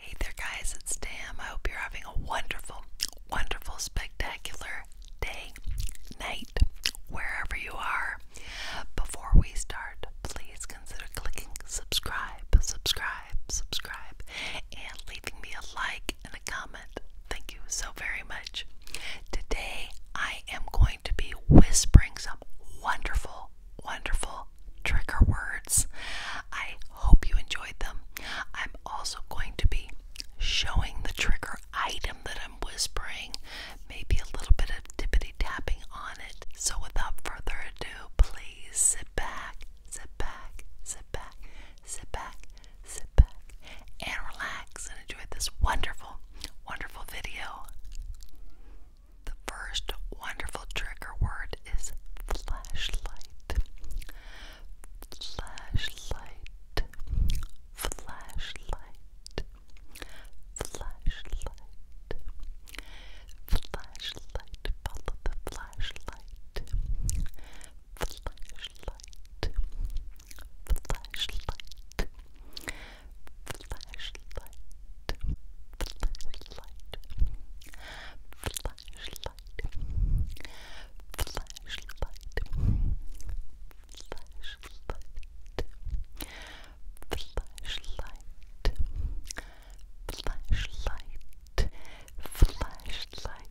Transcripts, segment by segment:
Hey there, guys, it's Tam. I hope you're having a wonderful, wonderful, spectacular day, night, wherever you are. Before we start, please consider clicking subscribe, subscribe, subscribe, and leaving me a like and a comment. Thank you so very much. Today, I am going to be whispering some wonderful, wonderful little trigger words. I hope you enjoyed them. I'm also going to be showing the trigger item that I'm whispering, maybe a little bit of tippity tapping on it. So, without further ado, please sit back, sit back, sit back, sit back, sit back, and relax and enjoy this wonderful, wonderful video. The first wonderful trigger word is flashlight. Flashlight. Flashlight. Flashlight. Flashlight. Follow the flashlight. Flashlight. Flashlight. Flashlight flashlight, flashlight, flashlight, flashlight, flashlight, flashlight, flashlight, flashlight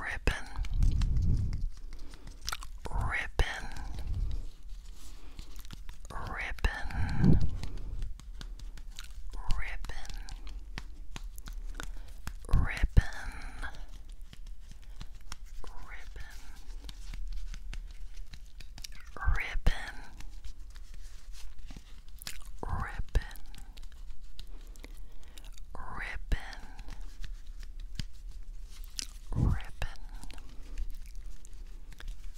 Ripping, ribbon ribbon ribbon ribbon ribbon ribbon Ripping, ribbon, ribbon, ribbon,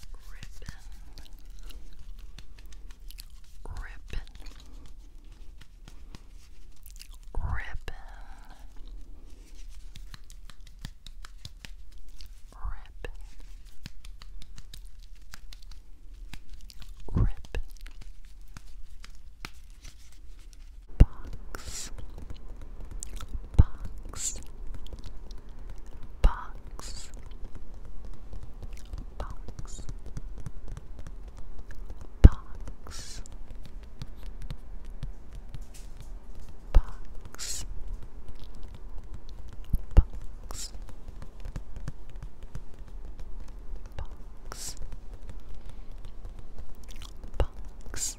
ribbon, ribbon ribbon, ribbon, box, box, box, box. Box, box, box, box, box, box, box. Box. Box. Box.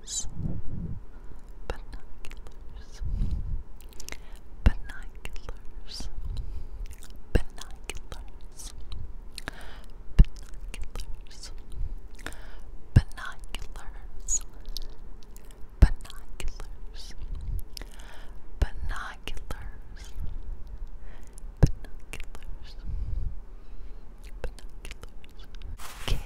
Binoculars. Binoculars. Binoculars. Binoculars. Binoculars. Binoculars. Binoculars. Binoculars. Binoculars. Okay,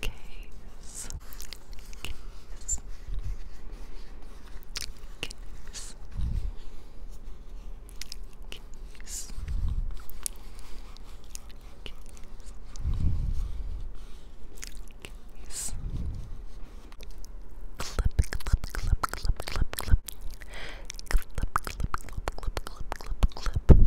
case, case, case, case. Case. Clip, clip, clip, clip, clip, clip. Clip, clip, clip, clip, clip, clip, clip.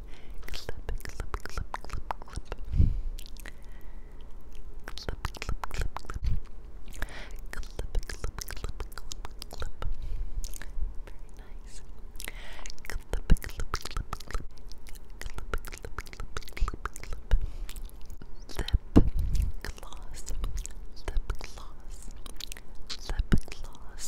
clip, clip, clip, clip, clip. Clip, clip, clip, clip. Clip, clip, clip, clip, clip. Very nice. Clip, clip, clip, clip, clip. Clip, clip, clip, clip, clip. Lip gloss. Lip gloss. Lip gloss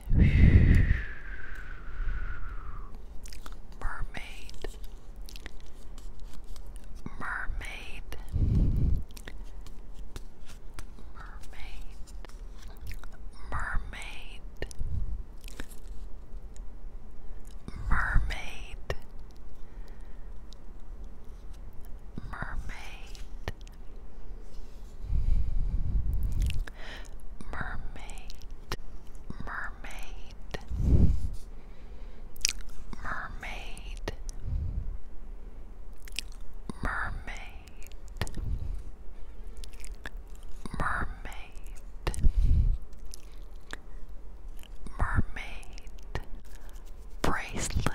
Mermaid, mermaid, mermaid, mermaid, mermaid, mermaid mermaid, mermaid, mermaid, mermaid, mermaid, mermaid, bracelet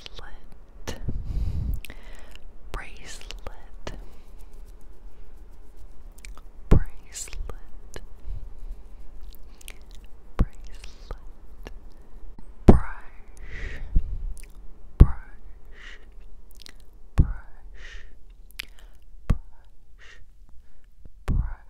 bracelet, bracelet, bracelet, bracelet, brush, brush, brush, brush, brush. Brush,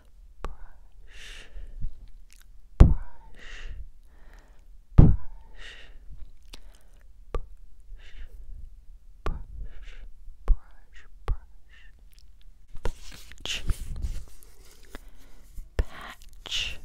brush, brush, brush, brush, brush, brush, patch, patch, patch. Patch,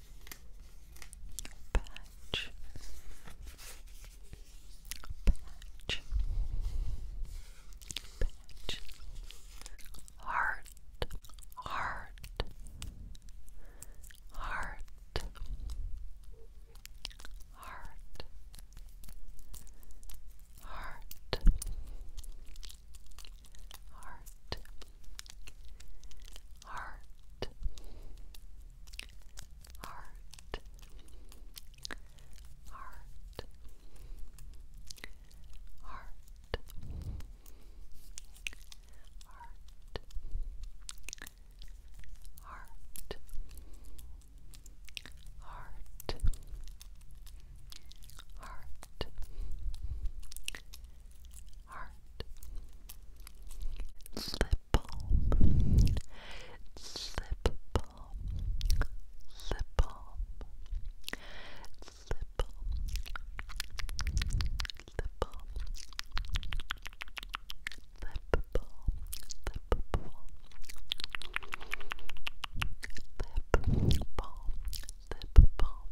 patch, patch, patch, heart, heart, heart, heart, heart, heart heart, heart, heart, heart, heart. Heart, heart, heart, heart. Slip balm. Slip balm. Slip balm. Slip balm. Lip balm. Lip balm. Lip balm. Lip balm. Lip balm.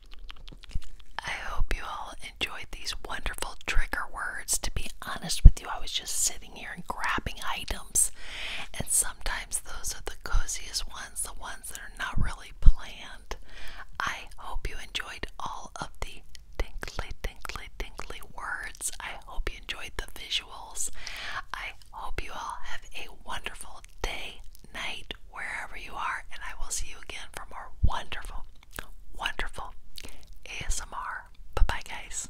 I hope you all enjoyed these wonderful trigger words. To be honest with you, I was just sitting here and grabbing items, and sometimes those are the coziest ones, the ones that are not really planned. I hope you enjoyed all of the tinkly, tinkly, tinkly words. I hope you enjoyed the visuals. I hope you all have a wonderful day, night, wherever you are, and I will see you again for more wonderful, wonderful ASMR. Bye bye, guys.